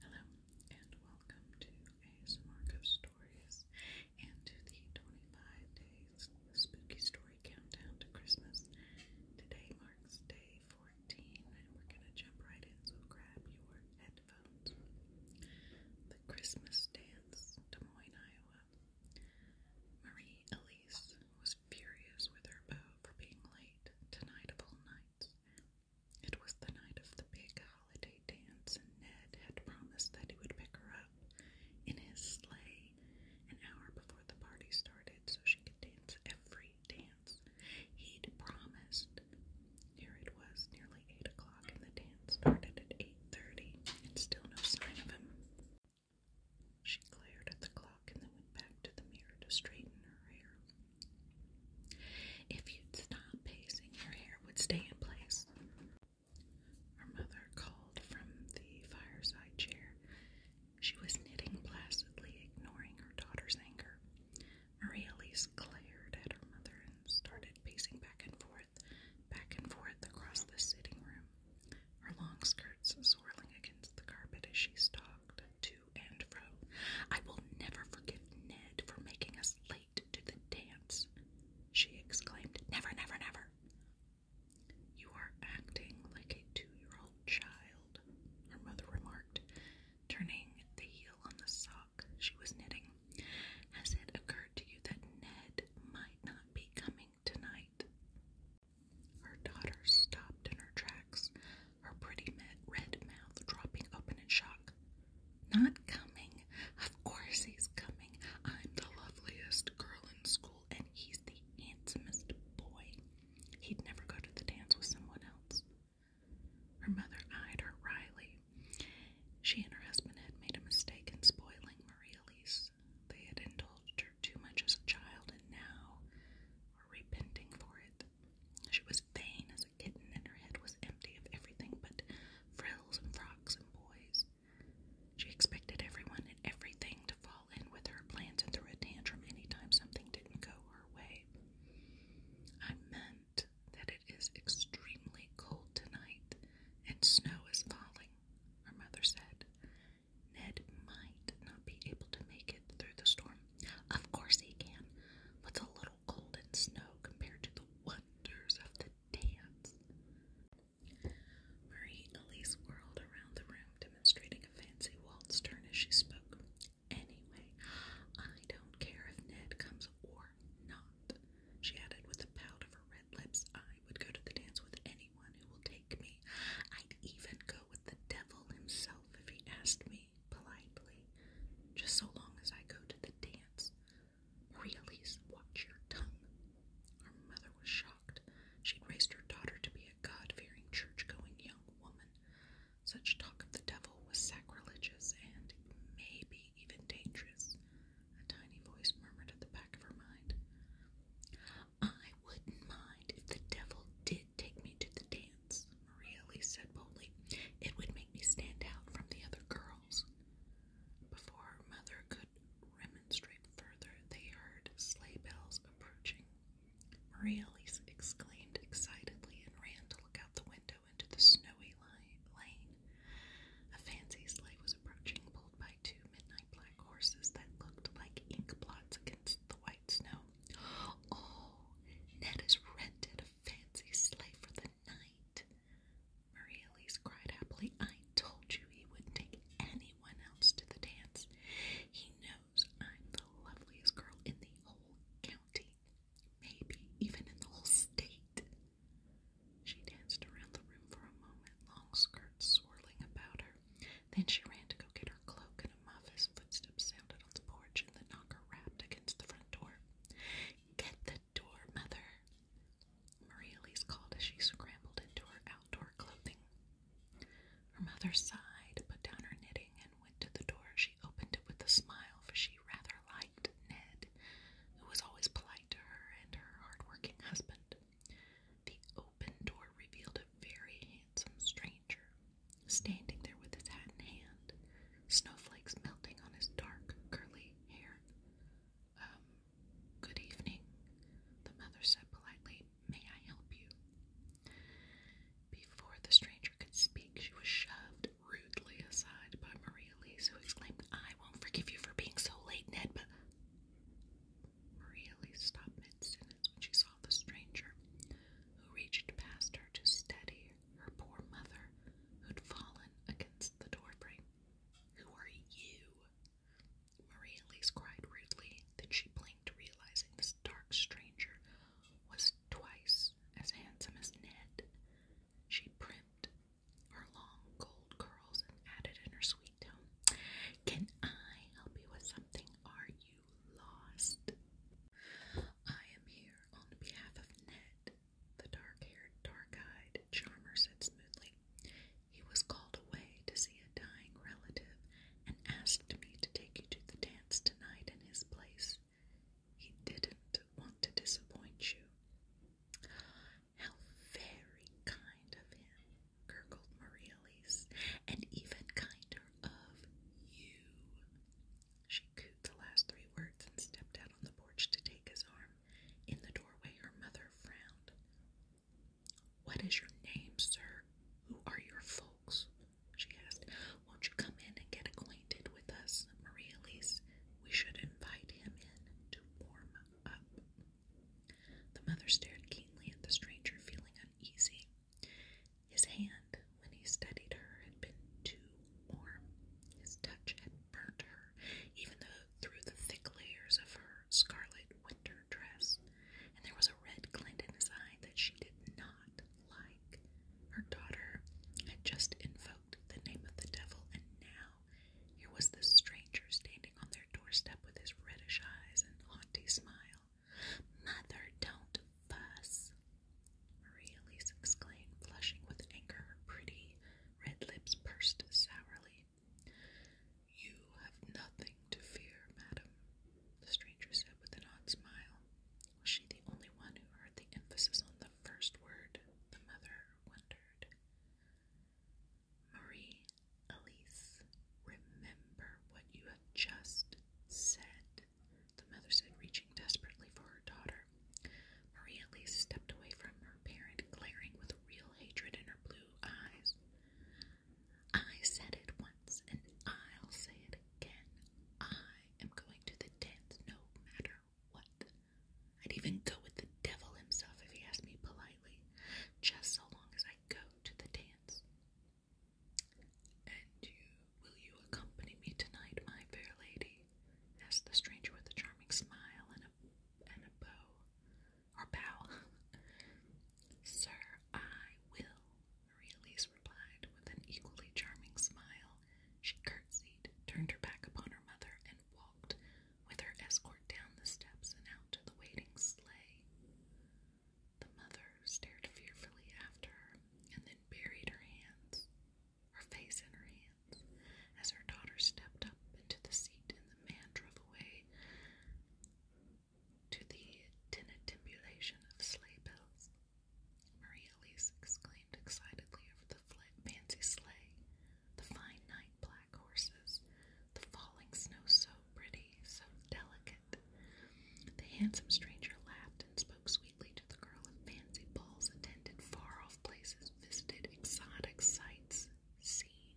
Hello, and welcome to ASMR Ghost Stories and to the 25 Days Spooky Story Countdown to Christmas. Today marks day 14, and we're going to jump right in, so grab your headphones. The Christmas Dance, Des Moines, Iowa. Marie Elise was furious with her beau for being late to of All Nights it was the night of the big holiday dance, and Ned had promised that he would pick her up in his sleigh an hour before the party started so she could dance every dance he'd promised. Here it was, nearly eight o'clock, and the dance started at eight thirty, and still no sign of him. She glared at the clock and then went back to the mirror to straighten her hair. If you'd stop pacing, your hair would stay in place. Her mother called from the fireside chair. She was knitting placidly, ignoring her daughter's anger. Maria Elise glared at her mother and started pacing back and forth, back and forth across the sitting room, her long skirts swirling against the carpet as she stalked to I will never forgive Ned for making us late to the dance, she exclaimed. Never, never, never. You are acting like a two year old child, her mother remarked, turning the heel on the sock she was knitting. Has it occurred to you that Ned might not be coming tonight? Her daughter stopped in her tracks, her pretty red mouth dropping open in shock. Not coming. Of course he's coming. I'm the loveliest girl in school, and he's the handsomest boy. He'd never go to the dance with someone else. Her mother eyed her wryly. She and her husband had made a mistake in spoiling Marie Elise. They had indulged her too much as a child, and now were repenting for it. She was vain as a kitten, and her head was empty of everything but frills and frocks and boys. She expected everyone and everything to fall in with her plans and threw a tantrum anytime something didn't go her way. I meant that it is extremely cold tonight and snow is falling, her mother said. Ned might not be able to make it through the storm of course he can. but it's a little cold and snow compared to the wonders of the dance? Marie Elise whirled around the room, demonstrating a fancy waltz turn as she spoke. Anyway, I don't care if Ned comes or not, she added with a pout of her red lips. I would go to the dance with anyone who will take me. I'd even go with the devil himself if he asked me politely, just so long as I go to the dance. Maria Elise, watch your tongue. Her mother was shocked. She'd raised her daughter to be a God fearing, church going young woman. Such talk of the devil was sacrilegious and maybe even dangerous. A tiny voice murmured at the back of her mind. I wouldn't mind if the devil did take me to dance, Maria Lee said boldly. It would make me stand out from the other girls. Before her mother could remonstrate further, they heard sleigh bells approaching. Maria Lee exclaimed excitedly and ran to look out the window into the snowy lane. A fancy sleigh was approaching, pulled by two midnight black horses that looked like ink blots against the white snow. Oh, Ned has rented a fancy sleigh for the night. Maria Elise cried happily. I told you he wouldn't take anyone else to the dance. He knows I'm the loveliest girl in the whole county, maybe even in the whole state. She danced around the room for a moment, long skirts swirling about her. Then she ran to go get her cloak Muff's footsteps sounded on the porch, and the knocker rapped against the front door. Get the door, Mother! Maria Elise called as she scrambled into her outdoor clothing. Her mother sighed, put down her knitting, and went to the door. She opened it with a smile, for she rather liked Ned, who was always polite to her and her hard-working husband. The open door revealed a very handsome stranger, standing there with his hat in hand, snowflakes melting on his dark, curly hair. Um, good evening, the mother said politely. May I help you? Before the stranger could speak, she was shoved rudely aside by Maria who exclaimed, I won't forgive you for being so late, Ned, but. Maria stopped mid sentence when she saw the stranger, who reached past her to steady her poor mother, who'd fallen against the doorframe. Who are you? Marie Elise cried rudely. Then she blinked, realizing this dark stranger was twice as handsome as Ned. She primed her long gold curls and added in her sweet tone, Can I help you with something? Are you lost. I am here on behalf of Ned, the dark haired, dark eyed charmer said smoothly. He was called away to see a dying relative and asked me to take you to the dance tonight in his place. He didn't want to disappoint you. How very kind of him, gurgled Marie Elise, and even kinder of you. She cooed the last three words and stepped out on the porch to take his arm. In the doorway, her mother frowned. What is your name, sir? Who are your folks? She asked. Won't you come in and get acquainted with us, Maria Elise? We should invite him in to warm up. The mother stared keenly at the stranger, feeling uneasy. His hand, when he studied her, had been too warm. His touch had burnt her, even though through the thick layers of her scarlet winter dress, and there was a red glint in his eye that she did not like. Her daughter had just invoked the name of the devil, and now here was this stranger standing on their doorstep with his reddish eyes and haughty smile. Mother, don't fuss. Maria Elise exclaimed, blushing with anger, pretty red lips pursed sourly. You have nothing to fear, madam, the stranger said with an odd smile. Was she the only one who heard the emphasis on the first word? The mother wondered. Marie Elise, remember what you have just said, the mother said, reaching desperately for her daughter. Maria Elise stepped away from her parent, glaring with real hatred in her blue eyes. I said it once, and I'll say it again. I am going to the dance no matter what. I'd even go with the devil himself if he asked me politely, just so long as I go to the dance. And you, will you accompany me tonight, my fair lady? asked the stranger with a charming smile and a and a bow, or bow. Sir, I will, Aurelius replied with an equally charming smile. She curtsied, turned her back upon her mother, and walked with her escort down the steps and out to the waiting sleigh. The mother stared fearfully after her and then buried her hands, her face in her hands, as her daughter stepped up into the seat and the man drove away to the tinnitimulation of sleigh bells. Maria Elise exclaimed excitedly over the fancy sleigh, the fine night black horses, the falling snow so pretty, so delicate. The handsome stranger laughed and spoke sweetly to the girl of fancy balls, attended far off places, visited exotic sights, seen.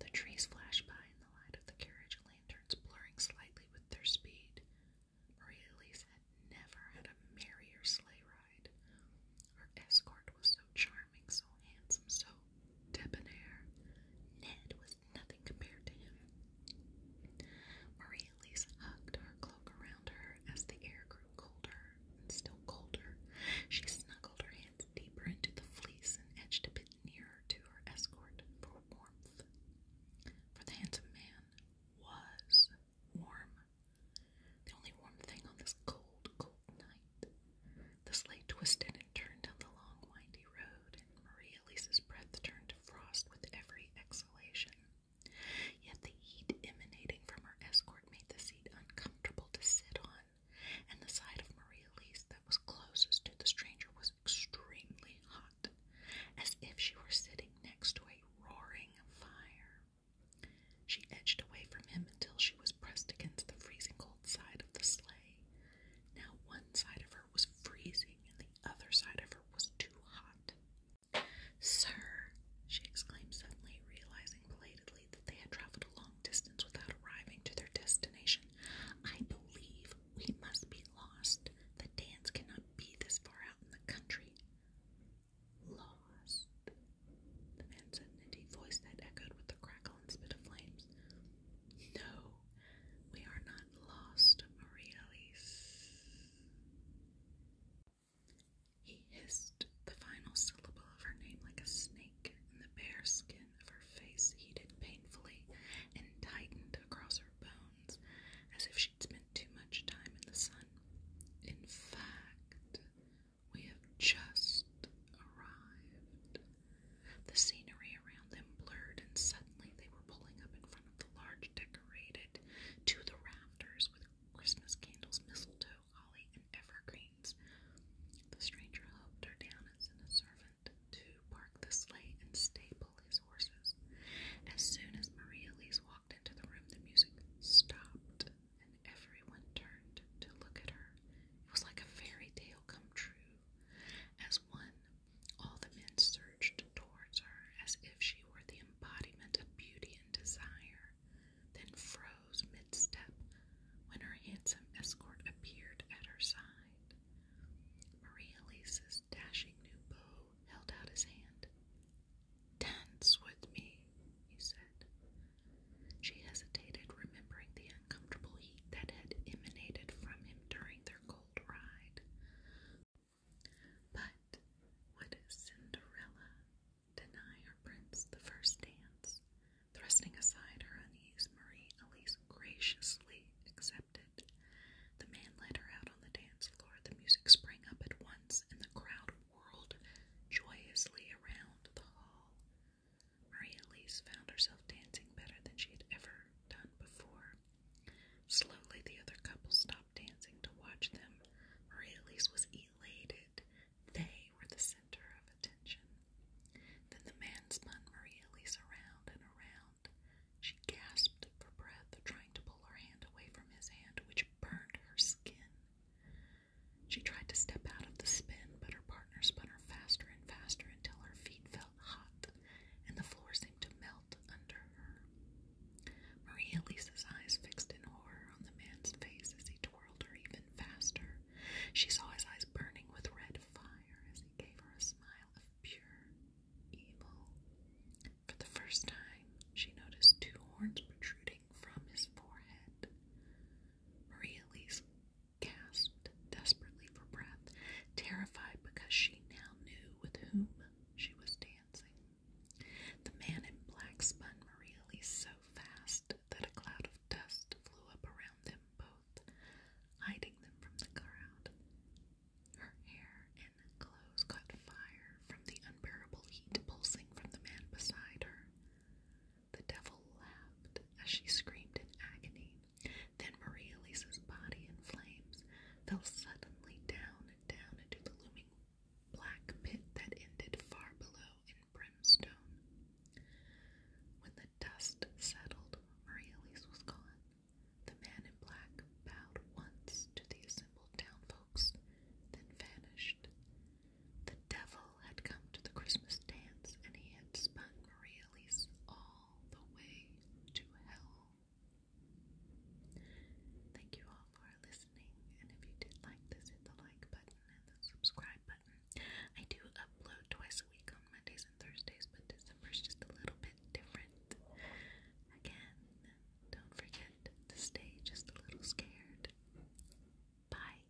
The trees flashed by in the light of the carriage lanterns, blurring slightly with their speed. Maria Elise had never had a merrier sleigh ride. Her escort was so charming, so handsome, so tall, debonair, Ned was nothing compared to him. Marie Elise hugged her cloak around her as the air grew colder and still colder. She snuggled her hands deeper into the fleece and edged a bit nearer to her escort for warmth. For the handsome man was warm. The only warm thing on this cold, cold night. The sleigh twisted turned down the long, windy road, and Maria Lisa's breath turned to frost with every exhalation. Yet the heat emanating from her escort made the seat uncomfortable to sit on, and the side of Maria Lisa that was closest to the stranger was extremely hot, as if she were sitting next to a roaring fire. She edged away from him until she was pressed against the freezing cold side of the sleigh. Now one side of her was freezing and the other side of her was too hot. Sir, she exclaimed suddenly, realizing belatedly that they had traveled a long distance without arriving to their destination. I believe we must be lost. The dance cannot be this far out in the country. Lost, the man said in a deep voice that echoed with the crackle and spit of flames. No, we are not lost, Maria Elise. He hissed the final syllable of her name like a snake, and the bare skin of her face heated painfully and tightened across her bones as if she'd spent too much time in the sun. In fact, we have just arrived, the scenery around them blurred, and suddenly they were pulling up in front of the large decorated to the rafters with Christmas candles, mistletoe, holly, and evergreens. The stranger helped her down as sent a servant to park the sleigh and staple his horses. As soon as Maria Elise walked into the room, the music stopped, and everyone turned to look at her. It was like a fairy tale come true. As one, all the men surged towards her as if she were the embodiment of beauty and desire, then froze mid step when her handsome escort appeared at her side. Maria Lisa's dashing new beau held out his hand. Dance with me, he said. She hesitated, remembering the uncomfortable that had emanated from him during their cold ride. But would Cinderella deny her prince the first dance? Thrusting aside her unease, Marie Elise graciously accepted. The man led her out on the dance floor. The music sprang up at once, and the crowd whirled joyously around the hall. Maria Elise found herself dancing better than she had ever done before. Slowly, the other couple stopped dancing to watch them. Maria Elise was elated. They were the center of attention. Then the man spun Maria Elise around and around. She gasped for breath, trying to pull her hand away from his hand, which burned her skin. She tried to step out of the spin, but her partner spun her faster and faster until her feet fell hot, and the floor seemed to melt under her. Maria Lisa's eyes fixed in horror on the man's face as he twirled her even faster. She saw his eyes burning with red fire as he gave her a smile of pure evil. For the first time, she noticed two horns protruding from his forehead. Maria Lisa gasped desperately for breath, terrified because she now knew with whom she was dancing. The man in black spun Maria so fast that a cloud of dust flew up around them both, hiding them from the crowd. Her hair and clothes caught fire from the unbearable heat pulsing from the man beside her. The devil laughed as she screamed in agony. Then Maria Lisa's body in flames fell suddenly down and down into the looming black pit that ended far below in brimstone. When the dust settled, Maria Lisa was gone. The man in black bowed once to the assembled town folks, then vanished. The devil had come to the Christmas dance, and he had spun Coriolis all the way to hell. Thank you all for listening, and if you did like this, hit the like button and the subscribe button. I do upload twice a week on Mondays and Thursdays, but December's just a little bit different. Again, don't forget to stay just a little scared. Bye.